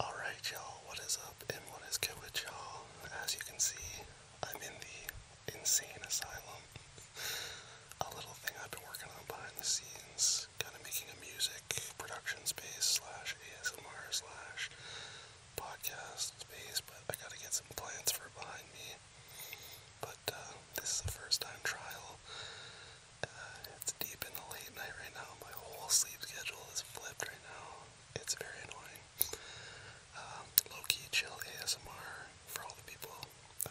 Alright y'all, what is up and what is good with y'all? As you can see, I'm in the insane asylum. a little thing I've been working on behind the scenes, kind of making a music production space slash ASMR slash podcast space, but I gotta get some plants for behind me. But uh, this is a first time trial it's deep in the late night right now. My whole sleep schedule is flipped right now. It's very annoying. Um, low key chill ASMR for all the people.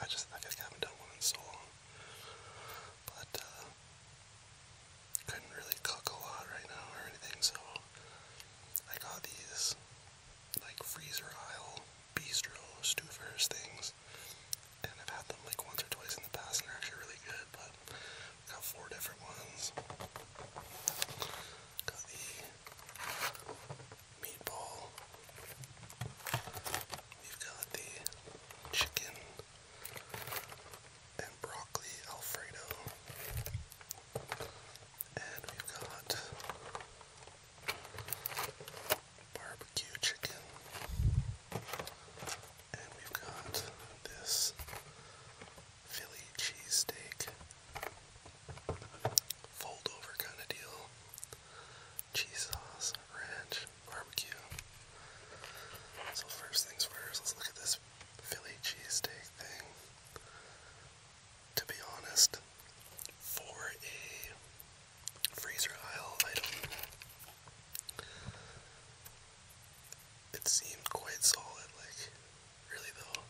I just I think haven't done one in so long. But uh, couldn't really cook a lot right now or anything, so I got these like freezer aisle bistro stoofers things. And I've had them like once or twice in the past and they're actually really good, but Got four different ones. Got the meatball. We've got the chicken and broccoli Alfredo. And we've got barbecue chicken. And we've got this Philly cheesesteak fold over kind of deal. Cheese sauce, ranch, barbecue. So, first things first, let's look at this Philly cheesesteak thing. To be honest, for a freezer aisle item, it seemed quite solid, like, really though.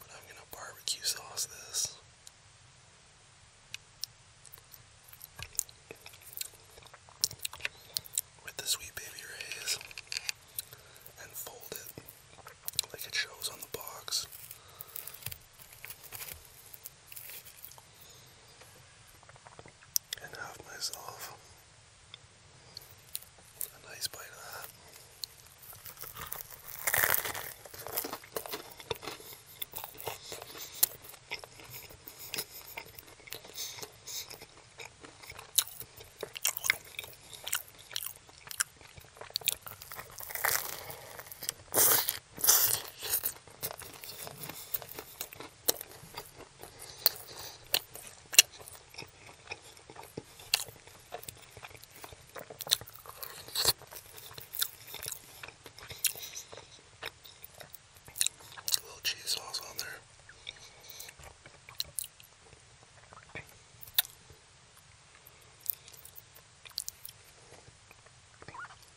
But I'm gonna barbecue sauce this. With the Sweet Baby Rays. And fold it like it shows on the box and have myself a nice bite of that. A little cheese sauce on there.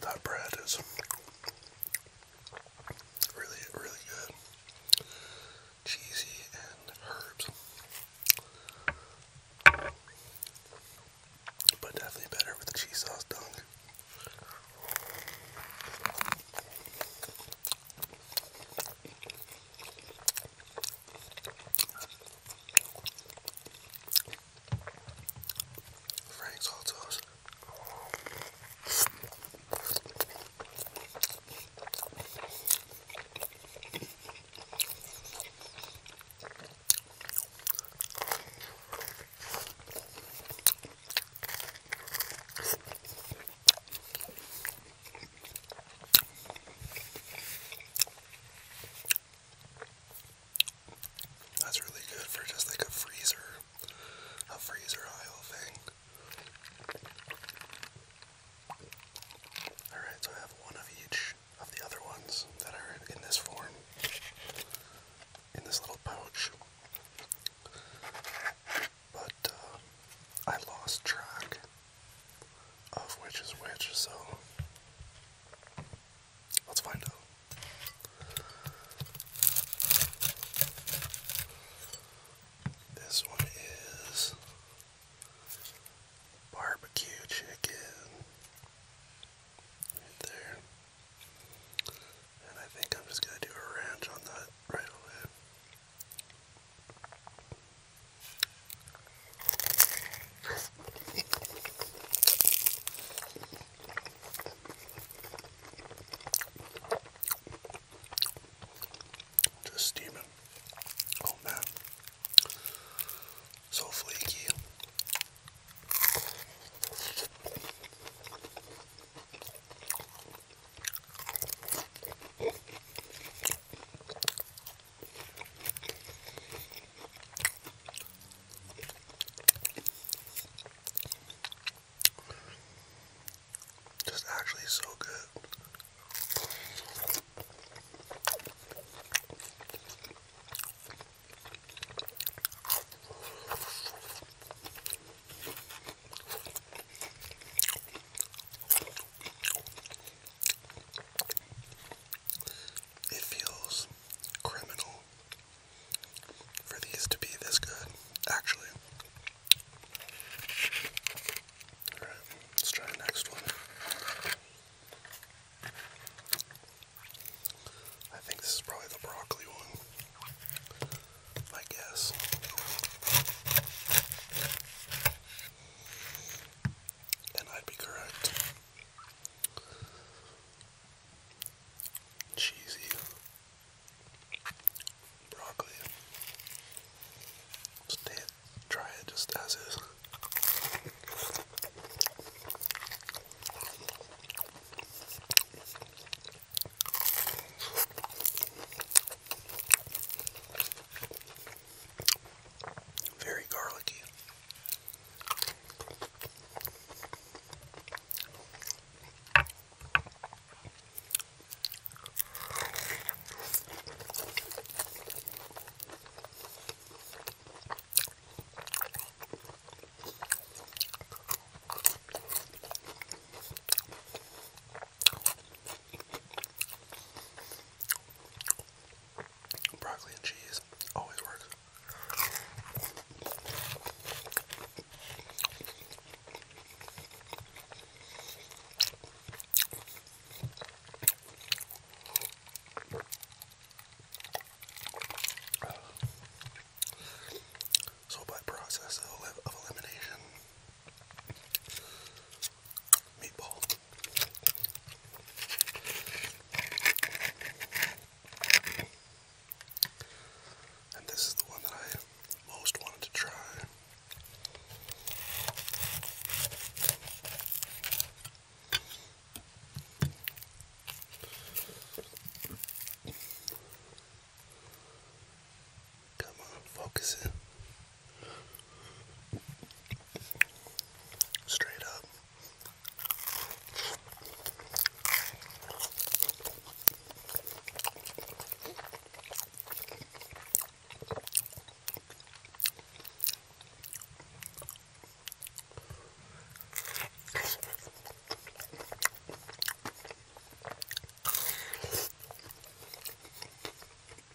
That bread is really, really good. Cheesy and herbs. But definitely better with the cheese sauce dunk. Frank's hot sauce. That's really good for just like a freezer, a freezer aisle thing. Alright, so I have one of each of the other ones that are in this form, in this little pouch. But uh, I lost track of which is which, so let's find out. This one is barbecue chicken right there. And I think I'm just gonna do a ranch on that right away. Just steaming. Oh man. So flaky. Just actually so good. It feels criminal for these to be this good, actually. Alright, let's try the next one. I think this is probably the broccoli one. I guess. And I'd be correct. Cheesy broccoli. Just it, try it just as is. Very garlicky. Broccoli and cheese always works. So by process of elimination, meatball. And this is the one that I most wanted to try. Come on, focus it. Straight up.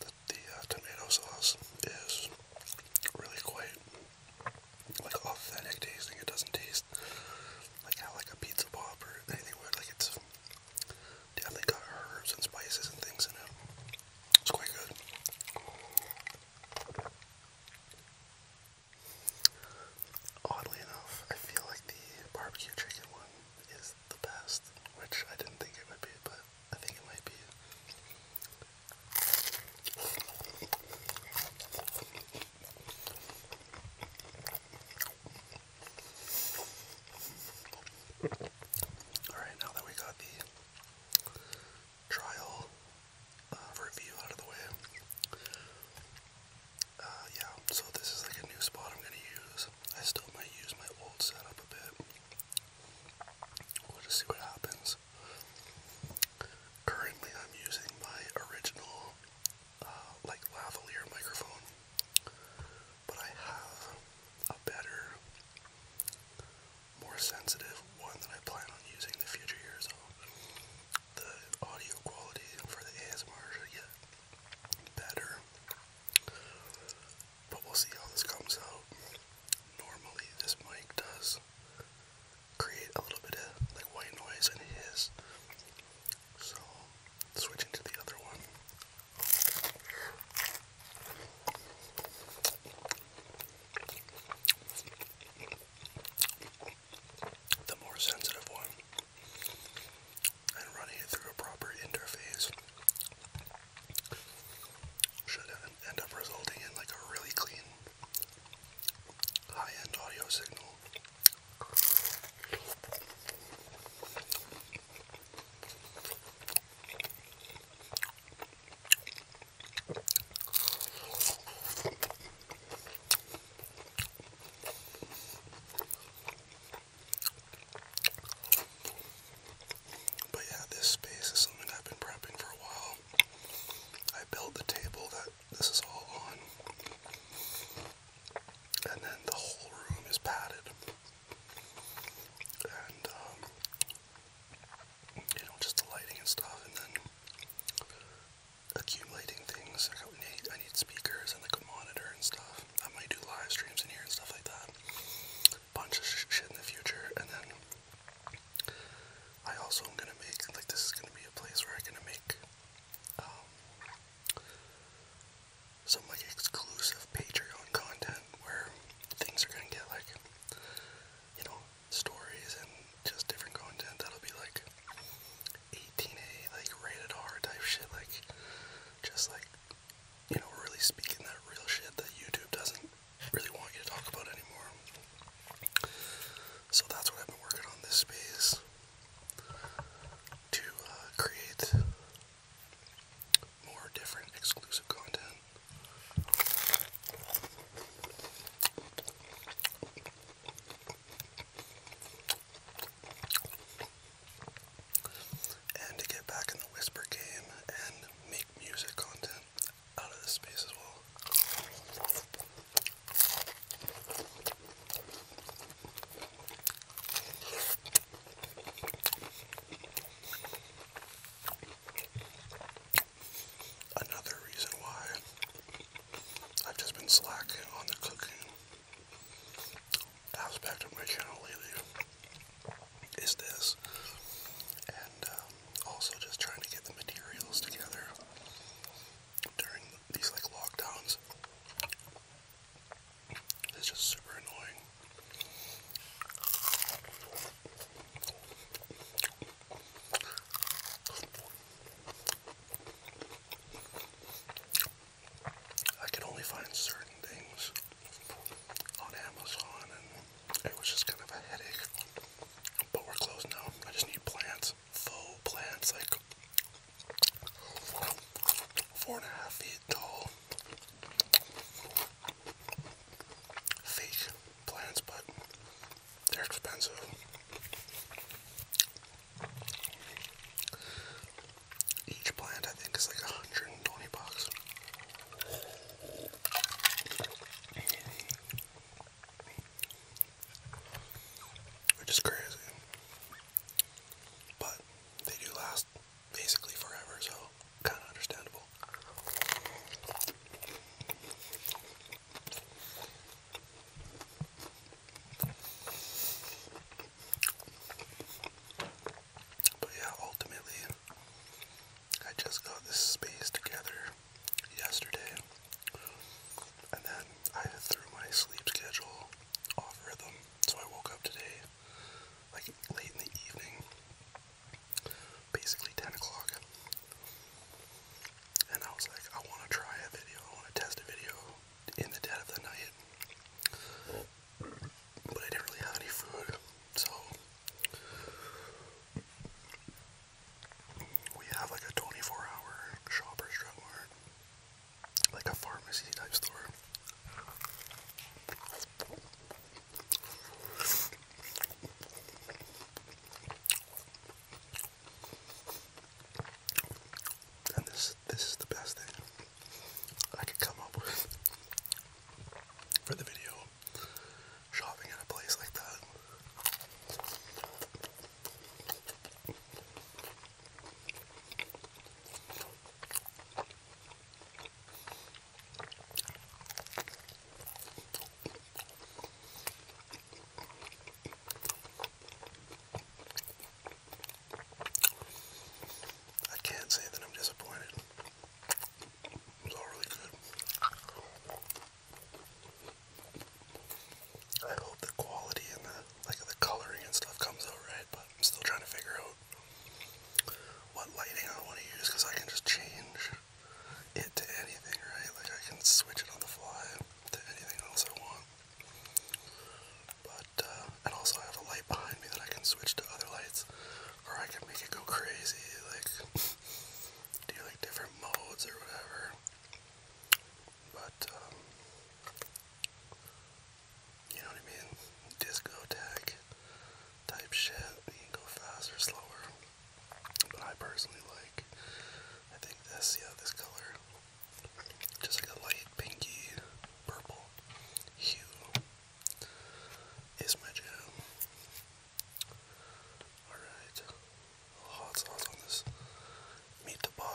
The, the uh, tomato sauce is really quite like authentic tasting. It doesn't taste like how like a pizza pop or anything would. Like it's definitely got herbs and spices and things in it. It's quite good. Oddly enough, I feel like the barbecue chicken one is the best, which I didn't think it would be, but I think it might be. Alright, now that we got the trial uh, review out of the way, uh, yeah, so this is like a new spot I'm gonna use. I still might use my old setup a bit. We'll just see what happens. Currently, I'm using my original, uh, like lavalier microphone, but I have a better, more sensitive one that I plan on using in the future years. the audio quality for the ASMR should better. But we'll see how this comes out. Normally, this mic does create a little bit of like white noise in his. So, switching to the other one. The more sensitive one and running it through a proper interface should end up resulting in like a really clean high-end audio signal. But yeah, this space is something I've been prepping for a while. I built the table that this is all on. And then the whole room is padded. And, um, you know, just the lighting and stuff. And then accumulating things. I need, I need speakers and like monitor and stuff. I might do live streams in here and stuff like that. Bunch of shit in the future. And then I also am gonna make like this is gonna be a place where I'm gonna make um, some like exclusive Patreon content where things are gonna get like you know stories and just different content that'll be like 18A, like rated R type shit, like just like you know, really speaking that real shit that YouTube doesn't really want you to talk about anymore. So that's what I've been working on this space to uh, create more different exclusive content and to get back in the whisper game and make music content out of this space as well. Another reason why I've just been slack on the cooking aspect of my channel lately. Is this, and um, also just trying to get the materials together during these like lockdowns. It's just super annoying. I can only find certain things on Amazon, and it was just kind of a headache. But we're closed now. I just need plants, faux plants, like four and a half feet tall. Fake plants, but they're expensive. Each plant, I think, is like 120 bucks. Which is crazy. But they do last basically forever, so kind of understandable. But yeah, ultimately, I just got this space together yesterday, and then I threw my sleep schedule off rhythm, so I woke up today like late in the evening, basically 10 o'clock and I was like, I want to try a video, I want to test a video in the dead of the night, but I didn't really have any food, so we have like a 24 hour shopper's drug mart, like a pharmacy type store. And this this is the best thing I could come up with for the video. Shopping at a place like that. I can't say that I'm disappointed. It was all really good. I hope the quality and the like the coloring and stuff comes out right, but I'm still trying to figure out what lighting I want to use because I can just change it to anything, right? Like I can switch it on the fly to anything else I want. But uh, and also I have a light behind me that I can switch to other lights, or I can make it go crazy, like do like different modes or whatever. But um, you know what I mean? Disco tech type shit. go faster, slower. But I personally like, I think this, yeah, this color. Just like a light pinky purple hue is my jam. Alright, oh, hot sauce on this meatball.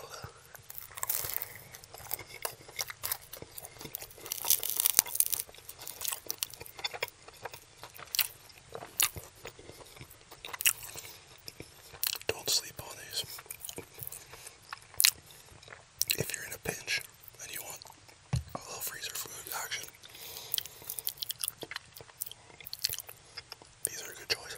Don't sleep on these. If you're in a pinch and you want a little freezer food action, these are a good choice.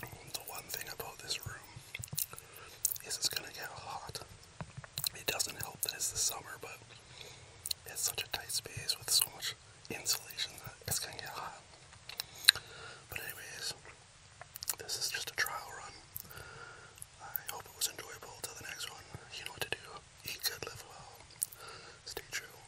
The one thing about this room is it's gonna get hot. It doesn't help that it's the summer, but it's such a tight space with so much insulation that it's gonna get hot. But anyways, this is just a trial run. I hope it was enjoyable till the next one. You know what to do. Eat good, live well. Stay true.